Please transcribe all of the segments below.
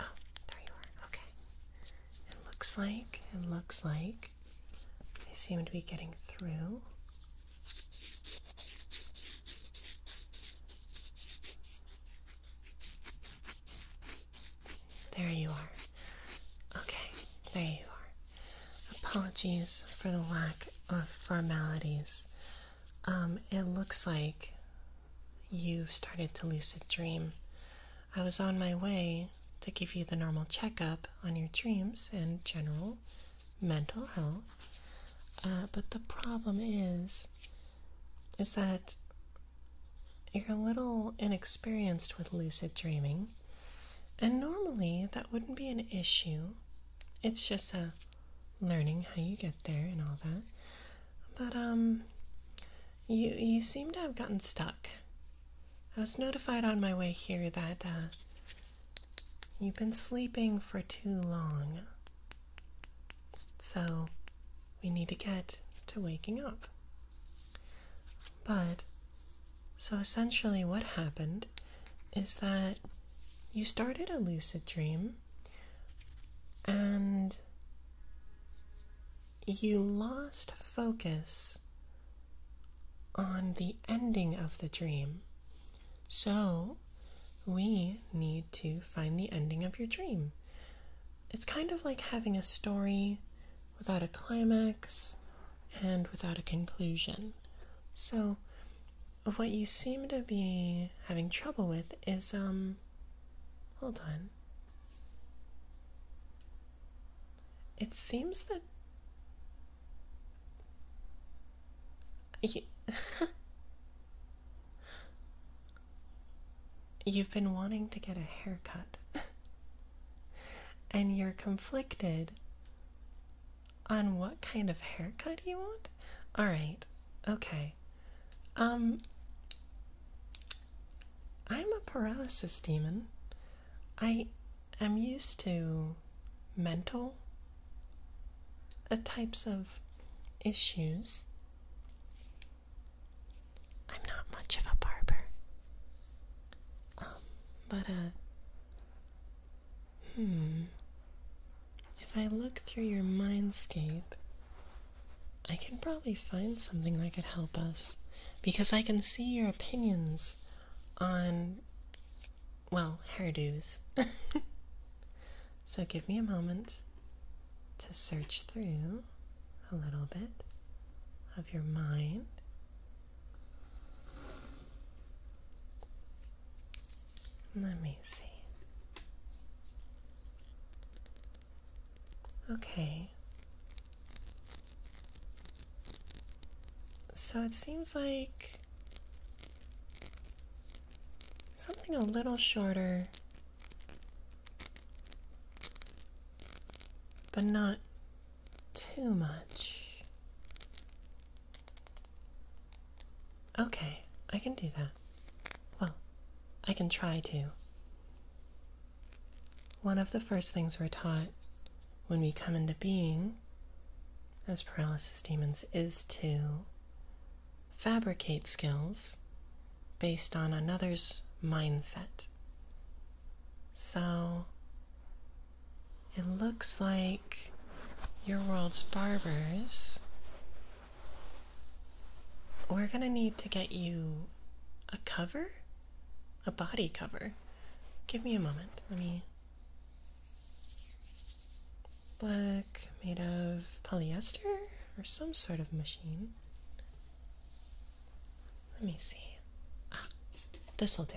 Oh, there you are. Okay. It looks like, it looks like they seem to be getting through. There you are. Okay, there you are. Apologies for the lack of formalities. Um, it looks like you've started to lucid dream. I was on my way to give you the normal checkup on your dreams and general mental health. Uh, but the problem is, is that you're a little inexperienced with lucid dreaming, and normally that wouldn't be an issue. It's just a learning how you get there and all that. But um you you seem to have gotten stuck. I was notified on my way here that uh, you've been sleeping for too long. So we need to get to waking up. But, so essentially, what happened is that you started a lucid dream and you lost focus on the ending of the dream. So, we need to find the ending of your dream. It's kind of like having a story without a climax, and without a conclusion. So, what you seem to be having trouble with is, um, hold on. It seems that. You... You've been wanting to get a haircut. and you're conflicted on what kind of haircut you want? All right. Okay. Um I'm a paralysis demon. I am used to mental uh, types of issues. I'm not much of a barber. Um, but, uh, hmm. If I look through your mindscape, I can probably find something that could help us. Because I can see your opinions on, well, hairdos. so give me a moment to search through a little bit of your mind. Let me see. Okay. So it seems like something a little shorter but not too much. Okay, I can do that. Well, I can try to. One of the first things we're taught when we come into being as paralysis demons is to fabricate skills based on another's mindset so it looks like your world's barbers. We're gonna need to get you a cover? A body cover. Give me a moment. Let me. Black, made of polyester or some sort of machine. Let me see. this'll do.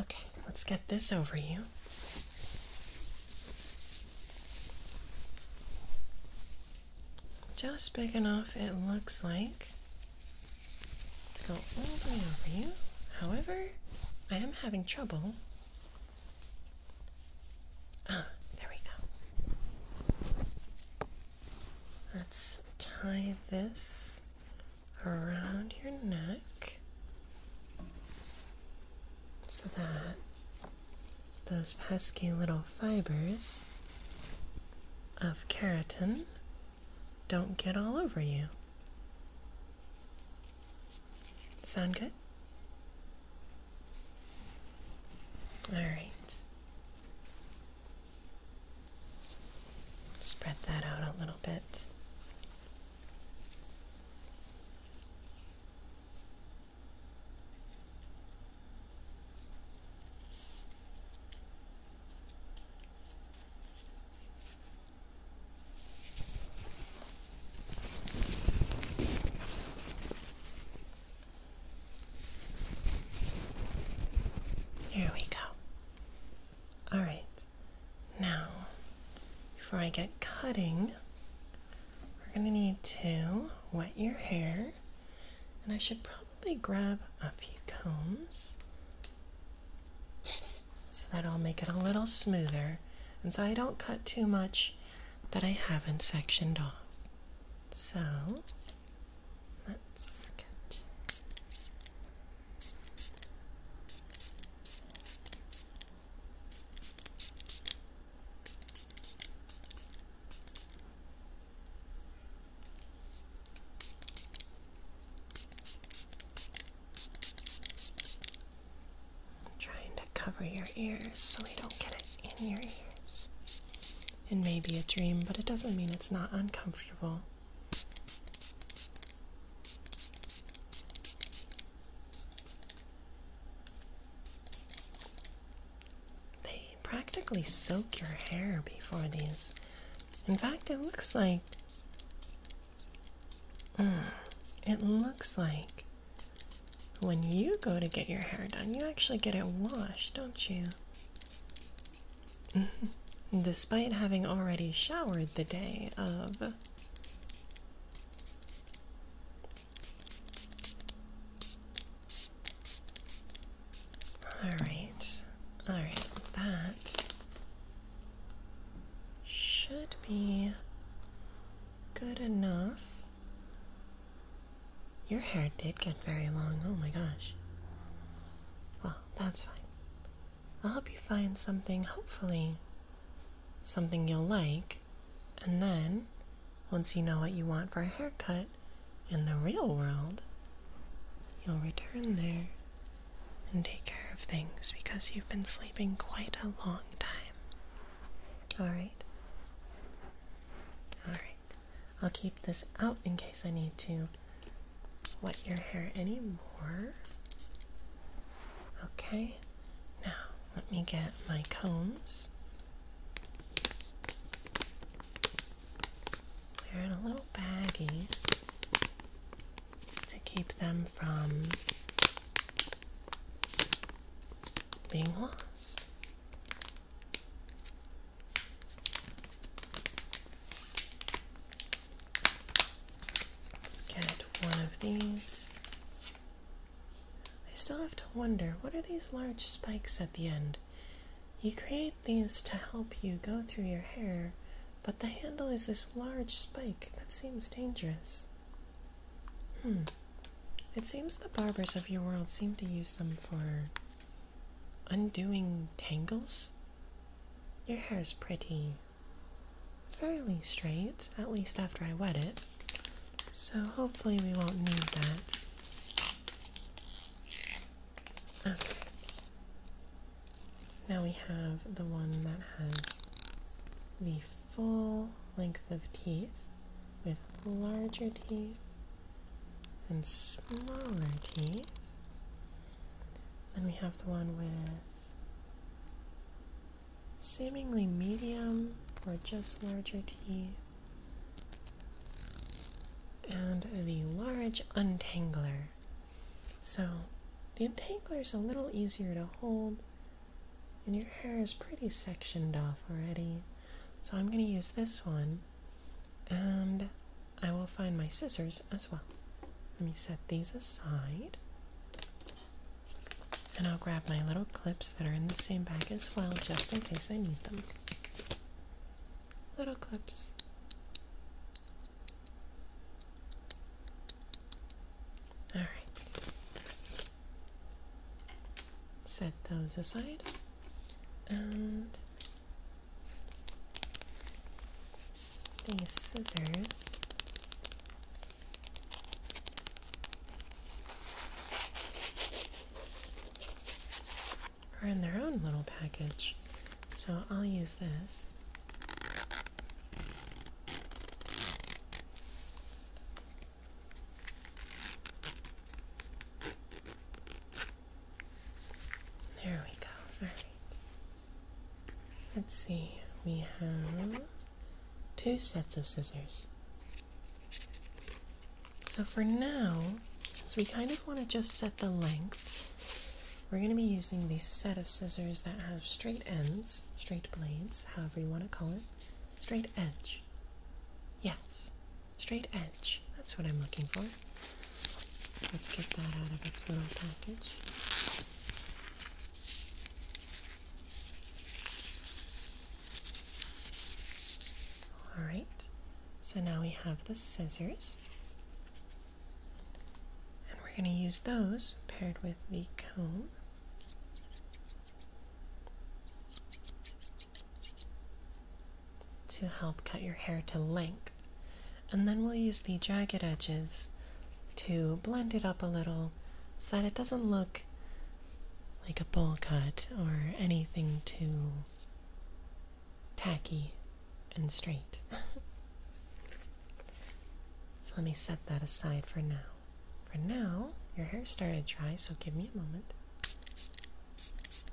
Okay, let's get this over you. Just big enough, it looks like to go all the way over you. However, I am having trouble. Ah, there we go. Let's tie this around your neck so that those pesky little fibers of keratin don't get all over you. Sound good? All right. Spread that out a little bit. Here we go. All right. Now, before I get cutting, we're going to need to wet your hair and I should probably grab a few combs so that I'll make it a little smoother and so I don't cut too much that I haven't sectioned off. So let's cut. I'm trying to cover your ears so we don't get it in your ears. It may be a dream, but it doesn't mean it's not uncomfortable. They practically soak your hair before these. In fact, it looks like. Mm, it looks like when you go to get your hair done, you actually get it washed, don't you? Despite having already showered the day of. All right, all right, that should be good enough. Your hair did get very long, oh my gosh. Well, that's fine. I'll help you find something, hopefully, something you'll like, and then once you know what you want for a haircut, in the real world, you'll return there and take care of things because you've been sleeping quite a long time. Alright? Alright. I'll keep this out in case I need to wet your hair anymore. Okay, now let me get my combs in a little baggie to keep them from being lost. Let's get one of these. I still have to wonder what are these large spikes at the end? You create these to help you go through your hair, but the handle is this large spike that seems dangerous. Hmm. It seems the barbers of your world seem to use them for undoing tangles. Your hair is pretty fairly straight, at least after I wet it, so hopefully we won't need that. Now we have the one that has the full length of teeth with larger teeth and smaller teeth. Then we have the one with seemingly medium or just larger teeth. And the large untangler so the entangler is a little easier to hold, and your hair is pretty sectioned off already. So I'm going to use this one, and I will find my scissors as well. Let me set these aside. And I'll grab my little clips that are in the same bag as well, just in case I need them. Little clips. All right. Set those aside. And these scissors are in their own little package. So I'll use this. There we go. All right. Let's see. We have two sets of scissors. So for now, since we kind of want to just set the length, we're going to be using the set of scissors that have straight ends, straight blades, however you want to call it, straight edge. Yes, straight edge. That's what I'm looking for. Let's get that out of its little package. Alright, so now we have the scissors. And we're going to use those paired with the comb. To help cut your hair to length. And then we'll use the jagged edges to blend it up a little so that it doesn't look like a bowl cut or anything too tacky and straight. so let me set that aside for now. For now, your hair started dry, so give me a moment.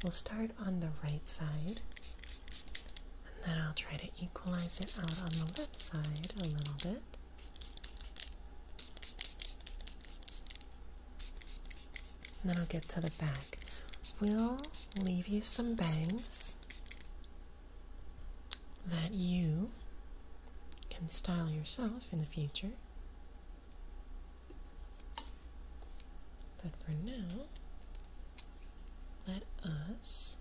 We'll start on the right side, and then I'll try to equalize it out on the left side a little bit. then I'll get to the back. We'll leave you some bangs that you can style yourself in the future. But for now, let us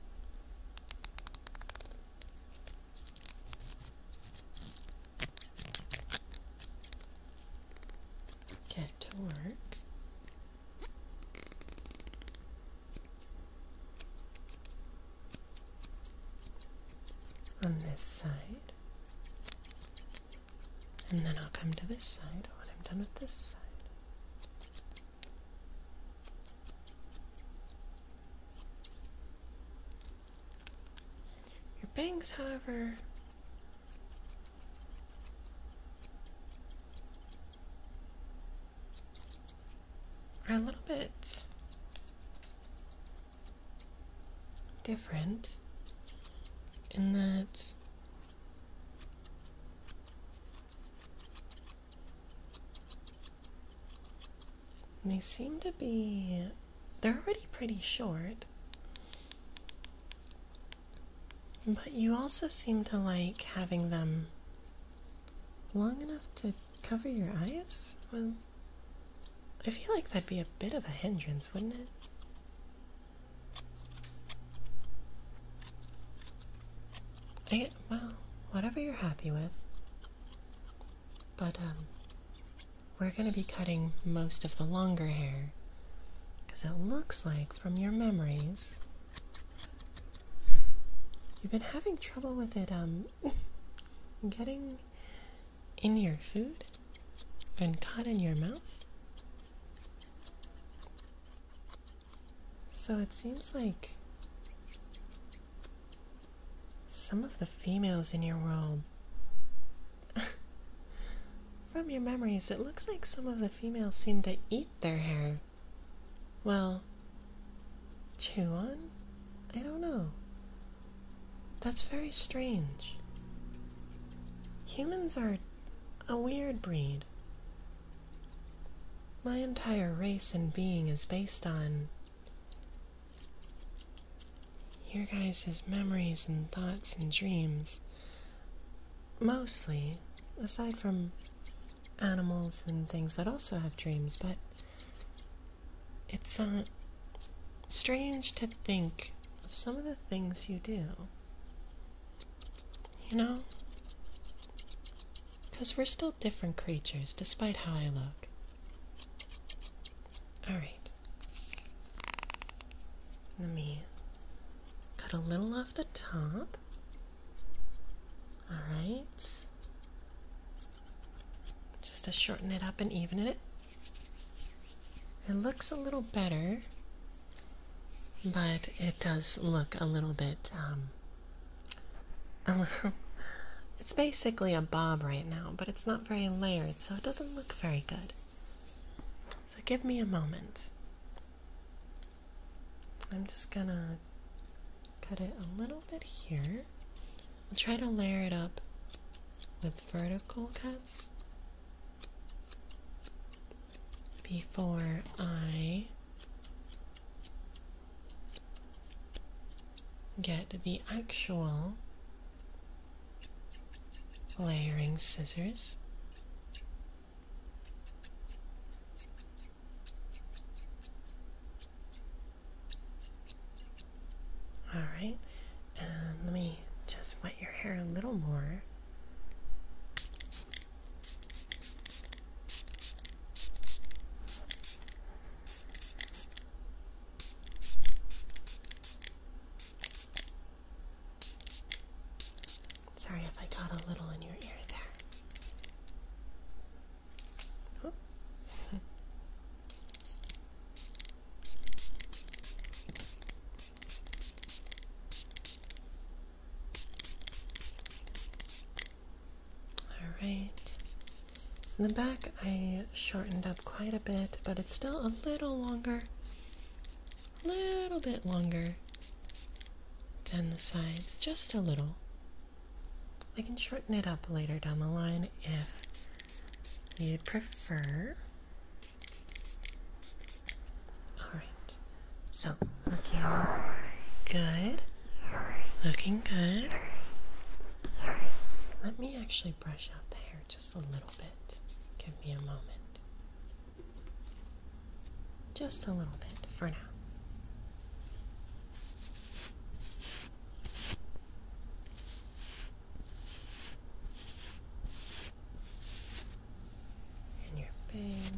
get to work on this side. And then I'll come to this side when I'm done with this side. Your bangs, however, are a little bit different in that they seem to be they're already pretty short but you also seem to like having them long enough to cover your eyes? Well, I feel like that'd be a bit of a hindrance, wouldn't it? well, whatever you're happy with. But, um, we're gonna be cutting most of the longer hair. Because it looks like, from your memories, You've been having trouble with it, um, getting in your food and caught in your mouth? So it seems like some of the females in your world. From your memories, it looks like some of the females seem to eat their hair. Well, chew on? I don't know. That's very strange. Humans are a weird breed. My entire race and being is based on your guys' memories and thoughts and dreams. Mostly, aside from animals and things that also have dreams, but it's uh, strange to think of some of the things you do. You know? Because we're still different creatures, despite how I look. Alright. Let me cut a little off the top. All right. Just to shorten it up and even it. It looks a little better, but it does look a little bit, um, it's basically a bob right now, but it's not very layered, so it doesn't look very good. So give me a moment. I'm just gonna cut it a little bit here. I'll try to layer it up with vertical cuts before I get the actual layering scissors all right, let me just wet your hair a little more. Sorry if I got a little in your ear there. Alright, in the back I shortened up quite a bit, but it's still a little longer a little bit longer than the sides, just a little. I can shorten it up later down the line if you prefer. Alright, so looking good, looking good. Let me actually brush out the hair just a little bit. Give me a moment. Just a little bit for now. And your bangs.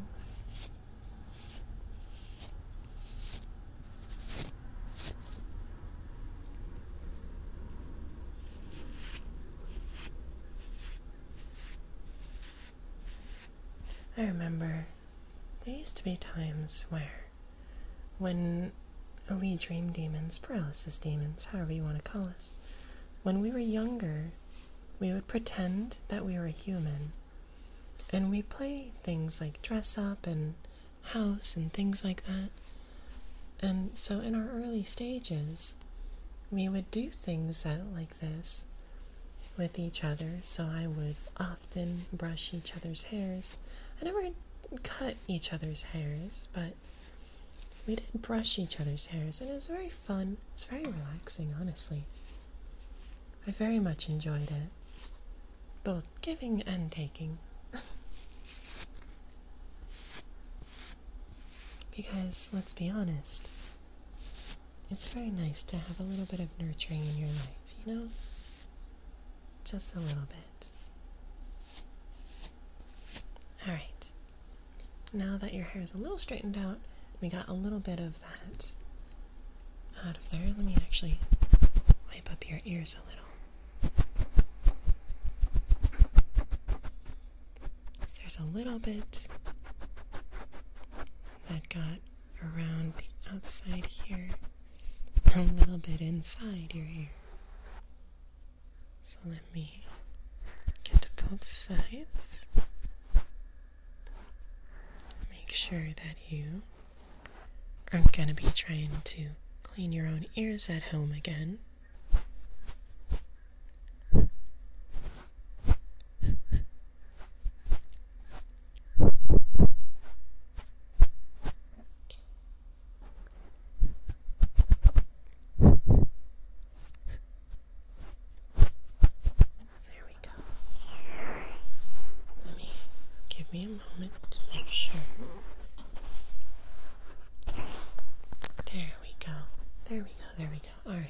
I remember there used to be times where, when we dream demons, paralysis demons, however you want to call us, when we were younger, we would pretend that we were a human. And we play things like dress up and house and things like that. And so in our early stages, we would do things that like this with each other, so I would often brush each other's hairs. I never cut each other's hairs, but we did brush each other's hairs, and it was very fun. It was very relaxing, honestly. I very much enjoyed it, both giving and taking. because, let's be honest, it's very nice to have a little bit of nurturing in your life, you know? Just a little bit. Alright, now that your hair is a little straightened out, we got a little bit of that out of there. Let me actually wipe up your ears a little. There's a little bit that got around the outside here a little bit inside your ear. So let me get to both sides. Make sure that you aren't going to be trying to clean your own ears at home again. There we go. Let me give me a moment to make sure. There we go. There we go. There we go. All right.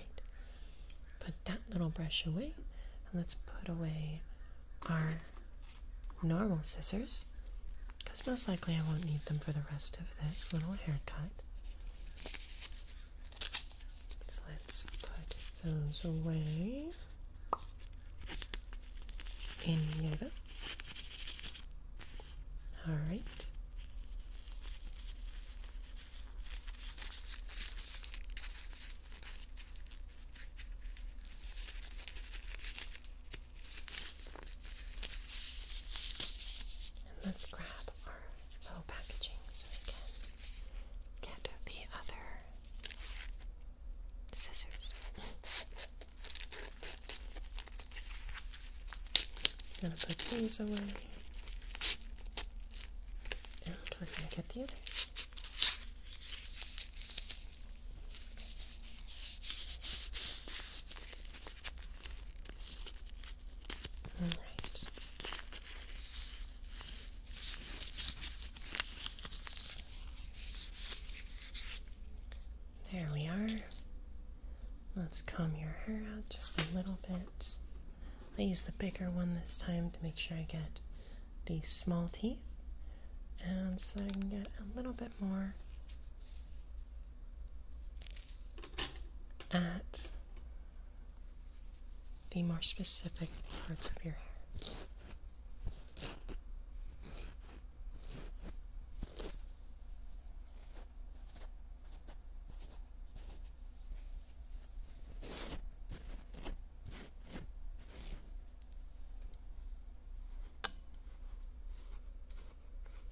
Put that little brush away and let's put away our normal scissors because most likely I won't need them for the rest of this little haircut. let's put those away in yoga. Alright let's grab our little packaging so we can get the other scissors. I'm going to put these away and we're going to get the others. All right. There we are. Let's comb your hair out just a little bit. I use the bigger one this time to make sure I get the small teeth and so that I can get a little bit more at the more specific parts of your hair.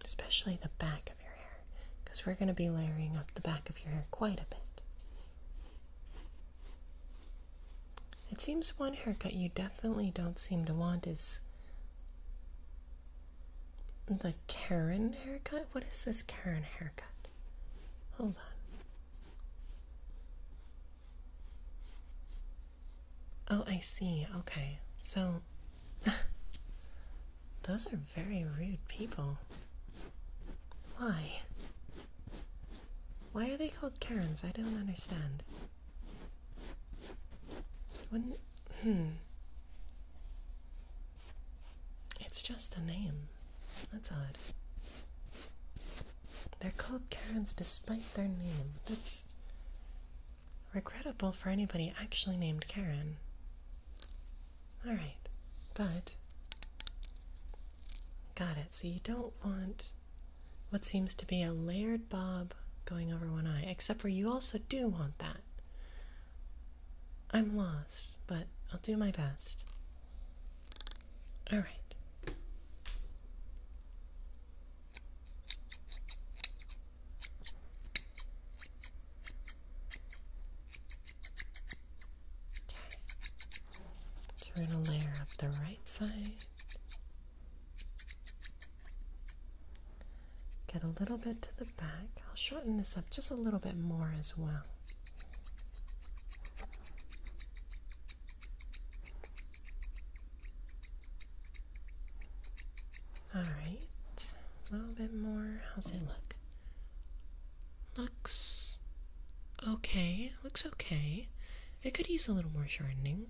Especially the back of your hair, because we're going to be layering up the back of your hair quite a bit. It seems one haircut you definitely don't seem to want is the Karen haircut. What is this Karen haircut? Hold on. Oh, I see. Okay. So, those are very rude people. Why? Why are they called Karens? I don't understand. Wouldn't. Hmm. It's just a name. That's odd. They're called Karens despite their name. That's regrettable for anybody actually named Karen. Alright, but. Got it. So you don't want what seems to be a layered bob going over one eye, except for you also do want that. I'm lost, but I'll do my best. All right. Okay. So we're going to layer up the right side. Get a little bit to the back. I'll shorten this up just a little bit more as well. All right, a little bit more. How's it look? Looks okay. Looks okay. It could use a little more shortening.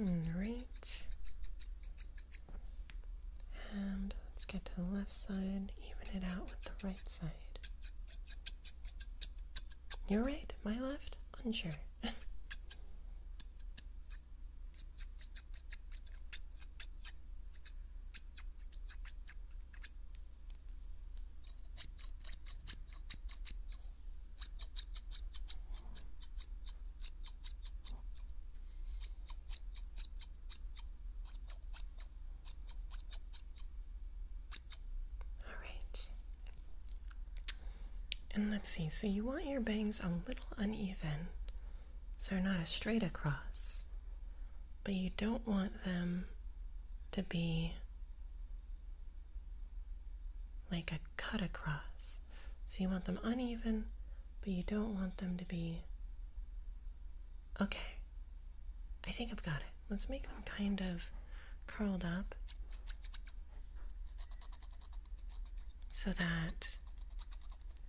All right. And let's get to the left side, even it out with the right side. You're right, my left, unsure. All right. And let's see, so you want your bangs a little uneven, so they're not a straight across, but you don't want them to be like a cut across. So you want them uneven, but you don't want them to be. Okay, I think I've got it. Let's make them kind of curled up so that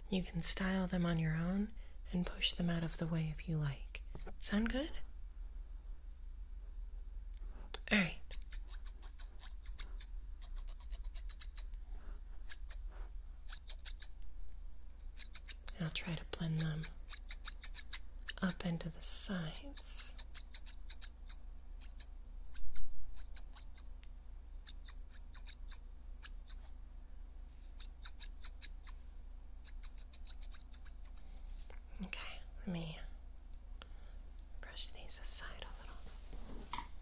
you can style them on your own and push them out of the way if you like. Sound good? Alright, and I'll try to blend them up into the sides. Okay, let me brush these aside a little.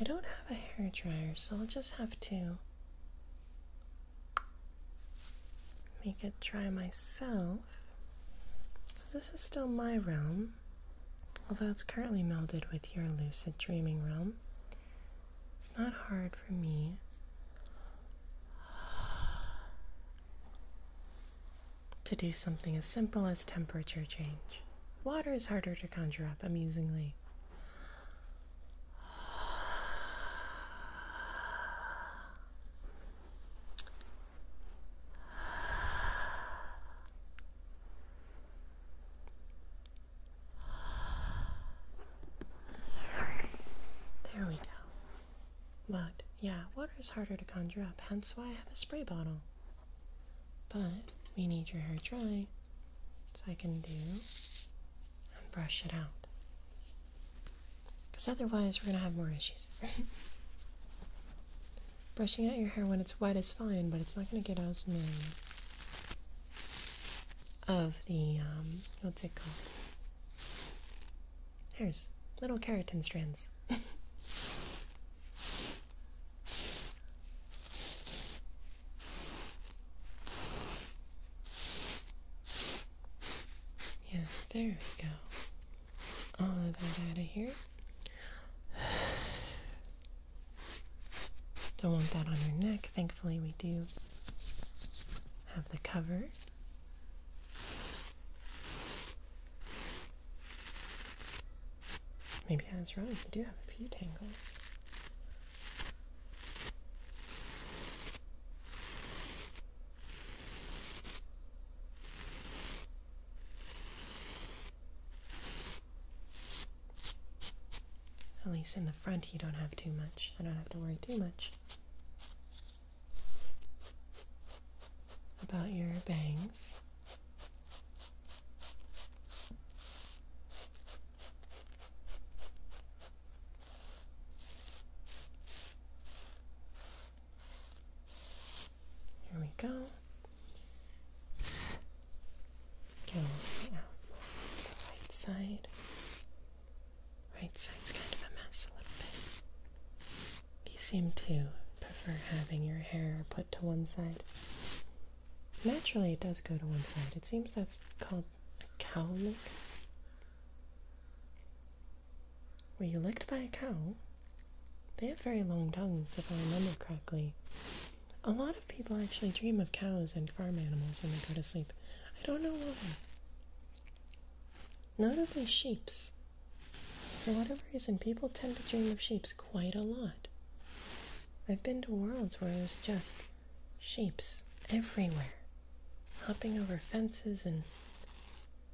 I don't have a hair dryer, so I'll just have to make it dry myself. this is still my realm, although it's currently melded with your lucid dreaming realm. It's not hard for me. To do something as simple as temperature change. Water is harder to conjure up, amusingly. There we go. But yeah, water is harder to conjure up, hence why I have a spray bottle. But we need your hair dry so I can do and brush it out. Because otherwise, we're going to have more issues. Brushing out your hair when it's wet is fine, but it's not going to get as many of the, um, what's it called? Hairs. Little keratin strands. Yeah, there we go. All of that out of here. Don't want that on your neck. Thankfully, we do have the cover. Maybe I was wrong. You do have a few tangles. At least in the front you don't have too much. I don't have to worry too much about your bangs. Here we go. Go out the right Right side's kind of a mess a little bit. You seem to prefer having your hair put to one side. Naturally, it does go to one side. It seems that's called a cowlick, lick. Were you licked by a cow? They have very long tongues, if I remember correctly. A lot of people actually dream of cows and farm animals when they go to sleep. I don't know why. Notably, sheeps. For whatever reason, people tend to dream of sheeps quite a lot. I've been to worlds where there's just shapes everywhere, hopping over fences, and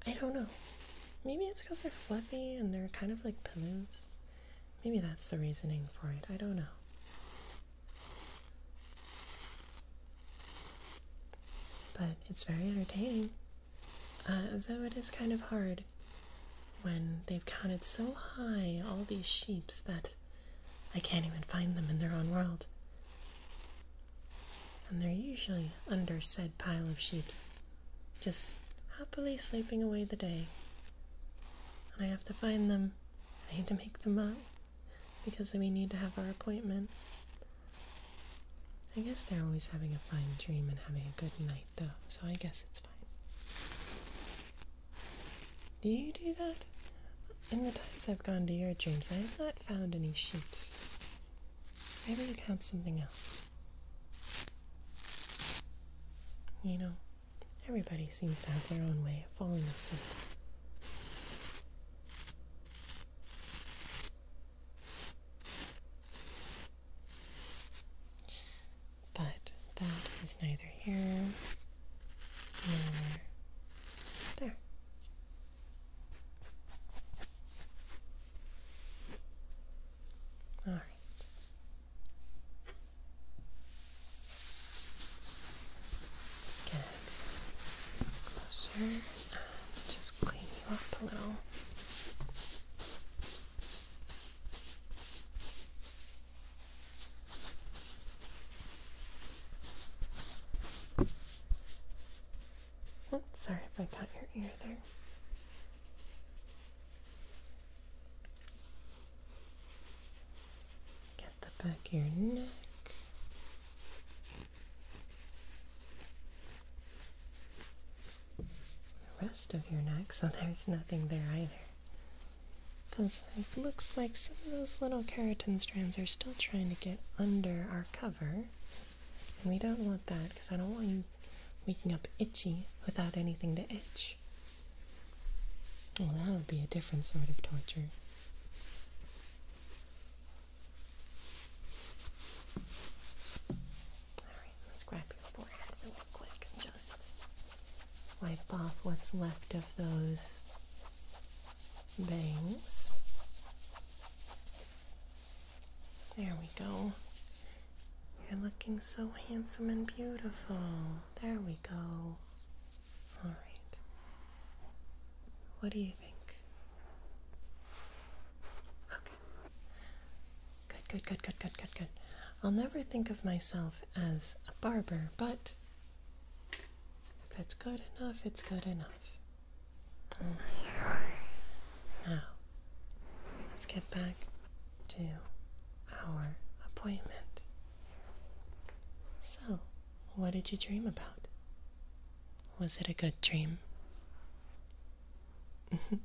I don't know. Maybe it's because they're fluffy and they're kind of like pillows. Maybe that's the reasoning for it. I don't know. But it's very entertaining. Uh, though it is kind of hard when they've counted so high all these sheeps that I can't even find them in their own world. And they're usually under said pile of sheeps, just happily sleeping away the day. And I have to find them. I have to make them up because we need to have our appointment. I guess they're always having a fine dream and having a good night though, so I guess it's fine. Do you do that? In the times I've gone to your dreams, I have not found any sheeps. Maybe you count something else. You know, everybody seems to have their own way of falling asleep. But that is neither here nor there. All right. Let's get closer just clean you up a little. Oh, sorry if I got your ear there. Get the back of your neck. The rest of your neck, so there's nothing there either. Because it looks like some of those little keratin strands are still trying to get under our cover. And we don't want that because I don't want you waking up itchy without anything to itch. Well, that would be a different sort of torture. Alright, let's grab your forehead really quick just wipe off what's left of those bangs. There we go. You're looking so handsome and beautiful. There we go. All right. What do you think? Okay. Good, good, good, good, good, good, good. I'll never think of myself as a barber, but if it's good enough, it's good enough. Now, let's get back to our appointment. So, what did you dream about? Was it a good dream?